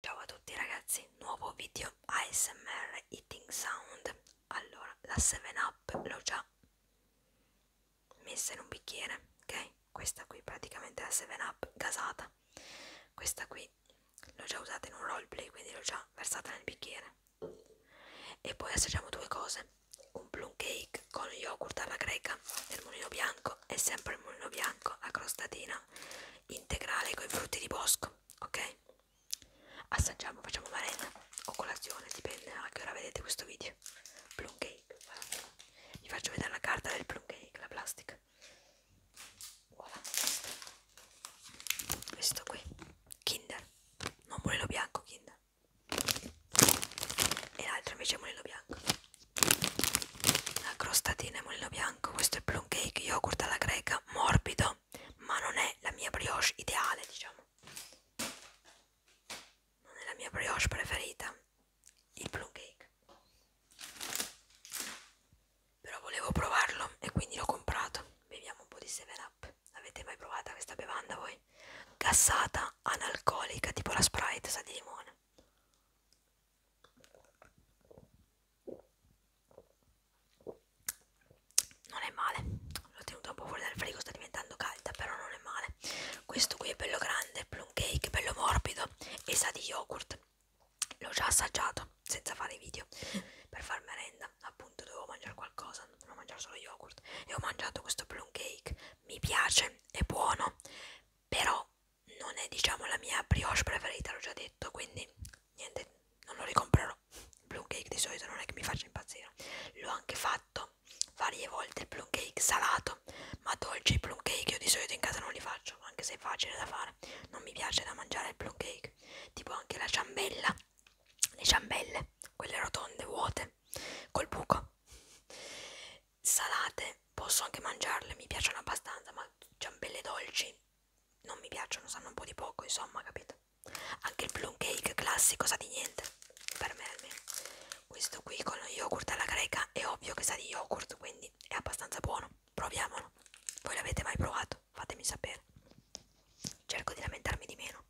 Ciao a tutti ragazzi, nuovo video ASMR Eating Sound Allora, la 7up l'ho già messa in un bicchiere, ok? Questa qui praticamente è la 7up gasata Questa qui l'ho già usata in un roleplay, quindi l'ho già versata nel bicchiere E poi assaggiamo due cose Un plum cake con yogurt alla greca nel mulino bianco E sempre il mulino bianco, la crostatina integrale con i frutti di bosco, ok? Assaggiamo, facciamo merenda o colazione, dipende a che ora vedete questo video. Plum cake, guarda. vi faccio vedere la carta del plum cake, la plastica. Voilà, questo qui, Kinder, non mulino bianco Kinder, e l'altro invece è mulino bianco. La crostatina e mulino bianco, questo è plum cake, yogurt alla greca, morbido, ma non è la mia brioche ideale, diciamo. Non è la mia brioche preferita, il plum cake. Però volevo provarlo e quindi l'ho comprato. Beviamo un po' di 7up. Avete mai provata questa bevanda voi? Gassata, analcolica, tipo la Sprite, sa di limone non è male l'ho tenuta un po' fuori dal frigo sta diventando calda però non è male questo qui è bello grande plum cake bello morbido e sa di yogurt l'ho già assaggiato senza fare video per far merenda appunto dovevo mangiare qualcosa non mangiare solo yogurt e ho mangiato questo plum cake mi piace è buono però non è diciamo la mia brioche preferita l'ho già detto quindi niente non lo ricomprerò plum cake di solito non è che mi faccia impazzire l'ho anche fatto varie volte il plum cake salato ma dolce i plum cake io di solito in casa non li faccio anche se è facile da fare non mi piace da mangiare il plum cake tipo anche la ciambella le ciambelle quelle rotonde vuote col buco salate posso anche mangiarle, mi piacciono abbastanza, ma ciambelle dolci non mi piacciono, sanno un po' di poco, insomma, capito? Anche il plum cake classico sa di niente, per me almeno. Questo qui con lo yogurt alla greca è ovvio che sa di yogurt, quindi è abbastanza buono. Proviamolo. Voi l'avete mai provato? Fatemi sapere. Cerco di lamentarmi di meno,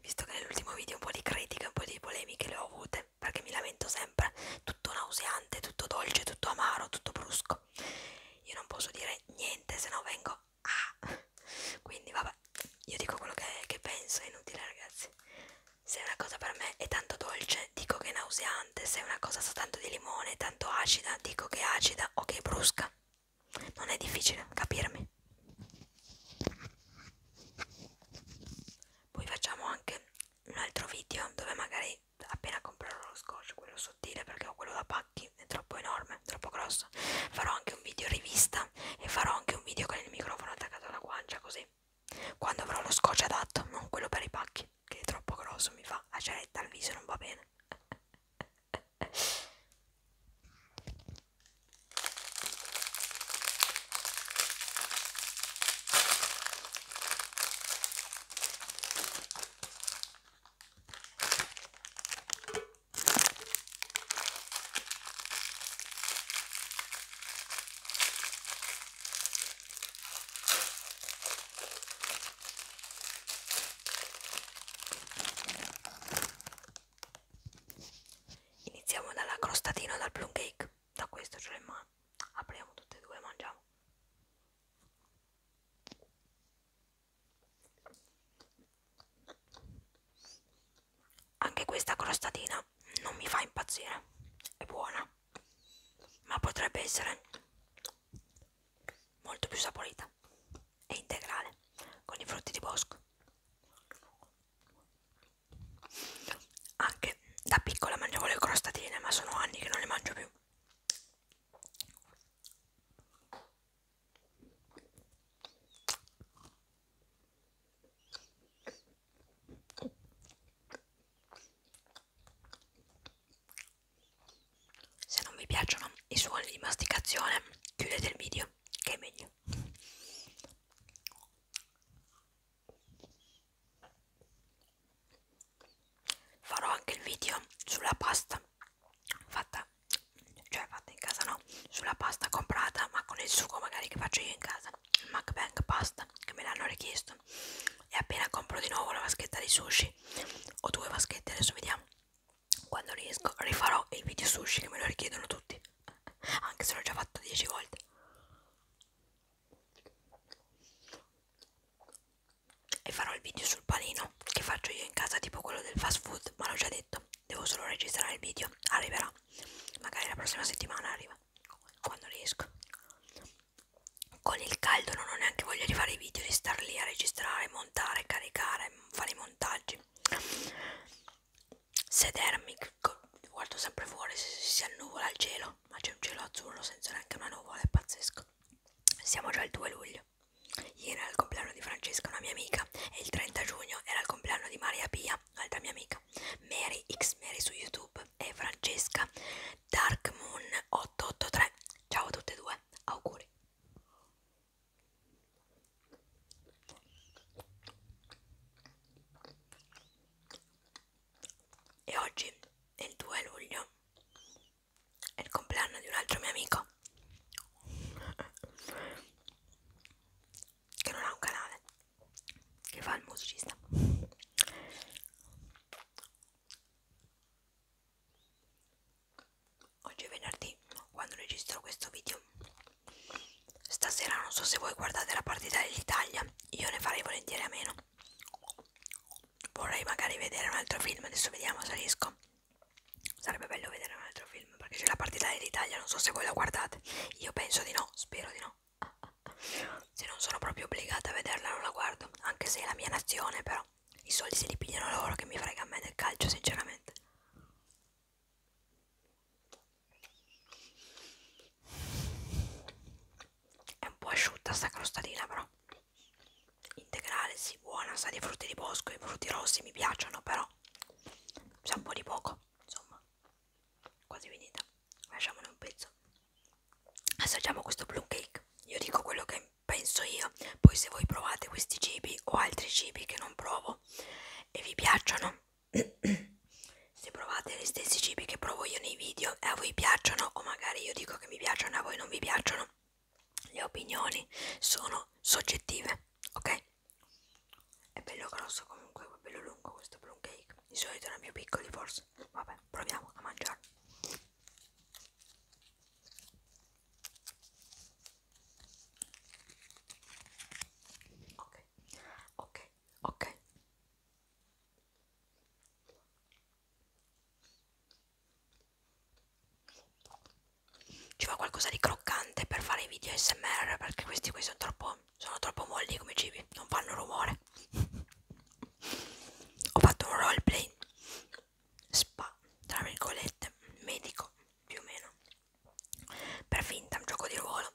visto che nell'ultimo video un po' di critiche, un po' di polemiche le ho avute parte perché mi lamento sempre tutto nauseante, tutto dolce, tutto amaro, tutto brusco io non posso dire niente se no vengo a ah. quindi vabbè io dico quello che, che penso è inutile ragazzi se una cosa per me è tanto dolce dico che è nauseante se una cosa sa tanto di limone è tanto acida dico che è acida o che è brusca non è difficile capirmi poi facciamo anche un altro video dove magari appena comprerò lo scotch quello sottile perché ho quello da pacchi è troppo enorme troppo grosso farò anche un video rivista e farò anche un video con il microfono attaccato alla guancia così quando avrò lo scotch adatto non quello per i pacchi che è troppo grosso mi fa aceretta al viso non va bene Iniziamo dalla crostatina o dal plum cake da questo ce cioè, le mani apriamo tutte e due e mangiamo anche questa crostatina non mi fa impazzire è buona ma potrebbe essere molto più saporita e integrale con i frutti di bosco anche da piccola mangiavo le crostatine, ma sono anni che non le mangio più. Se non vi piacciono i suoni di masticazione, chiudete il video, che è meglio farò anche il video sulla pasta fatta cioè fatta in casa no sulla pasta comprata ma con il sugo magari che faccio io in casa il MacBank pasta che me l'hanno richiesto e appena compro di nuovo una vaschetta di sushi o due vaschette adesso vediamo quando riesco rifarò il video sushi che me lo richiedono tutti anche se l'ho già fatta 10 volte e farò il video sul panino che faccio io in casa tipo quello del fast food ma l'ho già detto devo solo registrare il video arriverà magari la prossima settimana arriva quando riesco con il caldo non ho neanche voglia di fare i video di star lì a registrare montare caricare fare i montaggi sedermi, guardo sempre fuori se si annuvola il cielo, ma c'è un cielo azzurro senza neanche una nuvola, è pazzesco. Siamo già il 2 luglio, ieri era il compleanno di Francesca, una mia amica, e il 30 giugno era il compleanno di Maria Pia, altra mia amica, Mary X Mary su YouTube e Francesca Dark Moon 883. Ciao a tutte e due, auguri. E oggi è il 2 luglio, è il compleanno di un altro mio amico che non ha un canale, che fa il musicista oggi è venerdì quando registro questo video stasera non so se voi guardate la partita dell'Italia io ne farei volentieri a meno vorrei magari vedere un altro film adesso vediamo se riesco sarebbe bello vedere un altro film perché c'è la partita dell'Italia non so se voi la guardate io penso di no spero di no se non sono proprio obbligata a vederla non la guardo anche se è la mia nazione però i soldi se li pigliano loro che mi frega a me del calcio sinceramente è un po' asciutta sta crostatina però. Integrale, sì, buona, sa di frutti di bosco, i frutti rossi mi piacciono però. C'è un po' di poco, insomma. Quasi finita. Lasciamone un pezzo. Assaggiamo questo plum cake. Io dico quello che penso io. Poi se voi provate questi cibi o altri cibi che non provo e vi piacciono, se provate gli stessi cibi che provo io nei video e a voi piacciono o magari io dico che mi piacciono e a voi non vi piacciono, le opinioni sono soggettive, ok? È bello grosso comunque, è bello lungo questo plum cake. Di solito erano più piccoli forse. Vabbè, proviamo a mangiarlo ok ok ok ci va qualcosa di croccante per fare i video smr perché questi qui sono troppo sono troppo molli come cibi non fanno rumore ho fatto un roleplay spa, tra virgolette, medico più o meno, per finta, un gioco di ruolo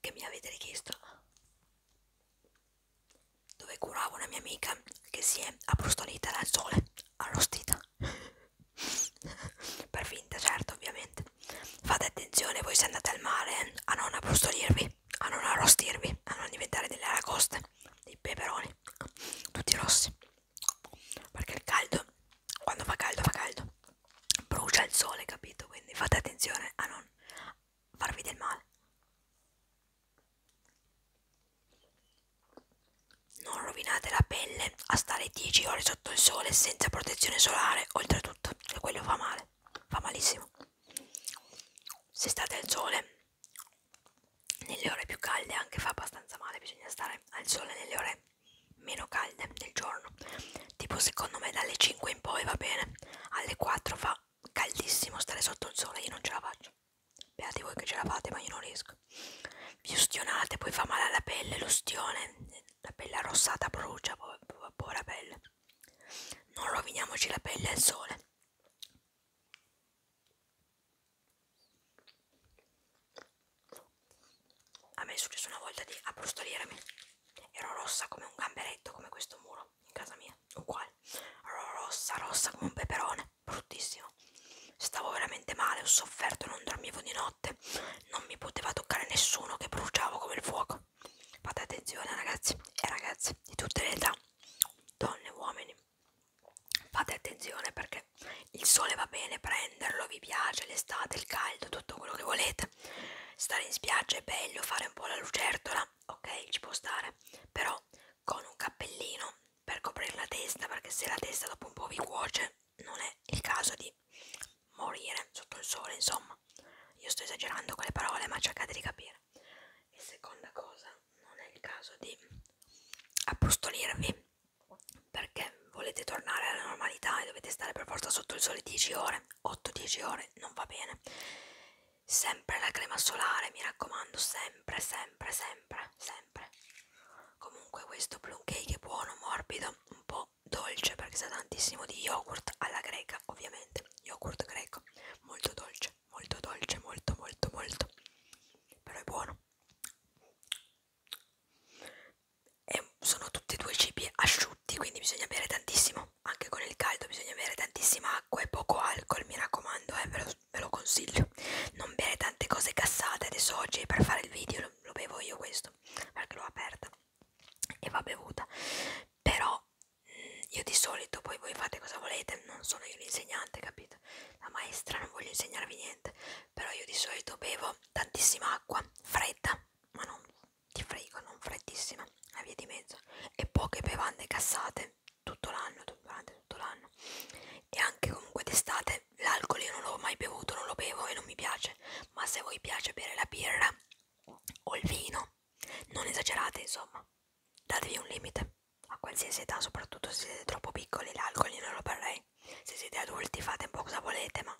che mi avete richiesto, dove curavo una mia amica che si è abbrustolita dal sole, arrostita, per finta, certo, ovviamente. Fate attenzione voi se andate al mare a non abbrustolirvi, a non arrostirvi, a non diventare delle aragoste, dei peperoni, tutti rossi perché il caldo quando fa caldo fa caldo brucia il sole capito quindi fate attenzione a non farvi del male non rovinate la pelle a stare 10 ore sotto il sole senza protezione solare oltretutto e quello fa male fa malissimo se state al sole nelle ore più calde anche fa abbastanza male, bisogna stare al sole nelle ore meno calde del giorno, tipo secondo me dalle 5 in poi va bene, alle 4 fa caldissimo stare sotto il sole, io non ce la faccio, beati voi che ce la fate ma io non riesco, vi ustionate, poi fa male alla pelle, l'ustione, la pelle arrossata brucia, po povera pelle, non roviniamoci la pelle al sole. A me è successo una volta di approstolirmi. Ero rossa come un gamberetto, come questo muro in casa mia, uguale. Ero rossa, rossa come un peperone, bruttissimo. Stavo veramente male, ho sofferto, non dormivo di notte. Non mi poteva toccare nessuno che bruciavo come il fuoco. Fate attenzione ragazzi e ragazze di tutte le età, donne e uomini fate attenzione perché il sole va bene prenderlo, vi piace l'estate, il caldo, tutto quello che volete. Stare in spiaggia è bello, fare un po' la lucertola, ok, ci può stare, però con un cappellino per coprire la testa, perché se la testa dopo un po' vi cuoce, non è il caso di morire sotto il sole, insomma. Io sto esagerando con le parole, ma cercate di capire e seconda cosa non è il caso di appostolirvi perché volete tornare alla normalità e dovete stare per forza sotto il sole 10 ore 8-10 ore non va bene sempre la crema solare mi raccomando sempre sempre sempre sempre comunque questo plum cake è buono morbido un po' dolce perché sa tantissimo di yogurt alla greca ovviamente yogurt greco molto dolce molto dolce, molto molto molto, però è buono. E sono tutti e due cibi asciutti, quindi bisogna bere tantissimo, anche con il caldo bisogna bere tantissima acqua e poco alcol, mi raccomando, eh, ve, lo, ve lo consiglio. Non bere tante cose cassate, adesso oggi per fare il video lo, lo bevo io questo, perché l'ho aperta e va bevuta, però io di solito poi voi fate cosa volete, non sono io l'insegnante, capito? La maestra, non voglio insegnarvi niente, però io di solito bevo tantissima acqua, fredda, ma non ti frego, non freddissima, a via di mezzo, e poche bevande cassate tutto l'anno, durante tutto l'anno, e anche comunque d'estate l'alcol io non l'ho mai bevuto, non lo bevo e non mi piace, ma se a voi piace bere la birra o il vino, non esagerate insomma, Datevi un limite a qualsiasi età, soprattutto se siete troppo piccoli, l'alcol io non lo berrei. Se siete adulti fate un po' cosa volete, ma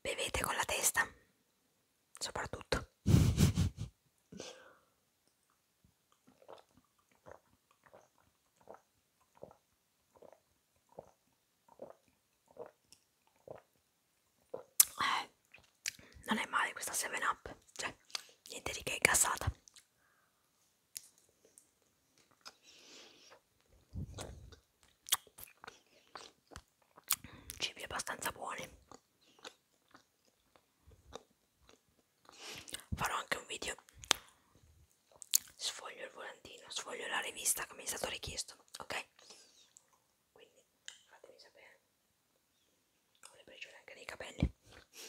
bevete con la testa, soprattutto. eh, non è male questa 7 up cioè niente di che è cassata cibi abbastanza buoni farò anche un video sfoglio il volantino sfoglio la rivista che mi è stato richiesto ok quindi fatemi sapere ho le briciole anche nei capelli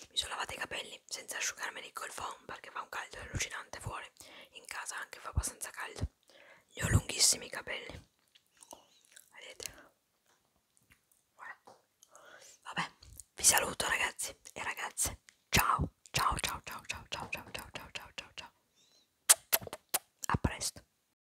mi sono lavata i capelli senza asciugarmeli col foam perché fa un caldo allucinante fuori in casa anche fa abbastanza caldo gli ho lunghissimi i capelli vedete voilà. vabbè vi saluto ragazzi e ragazze ciao ciao ciao ciao ciao ciao ciao ciao ciao ciao ciao a presto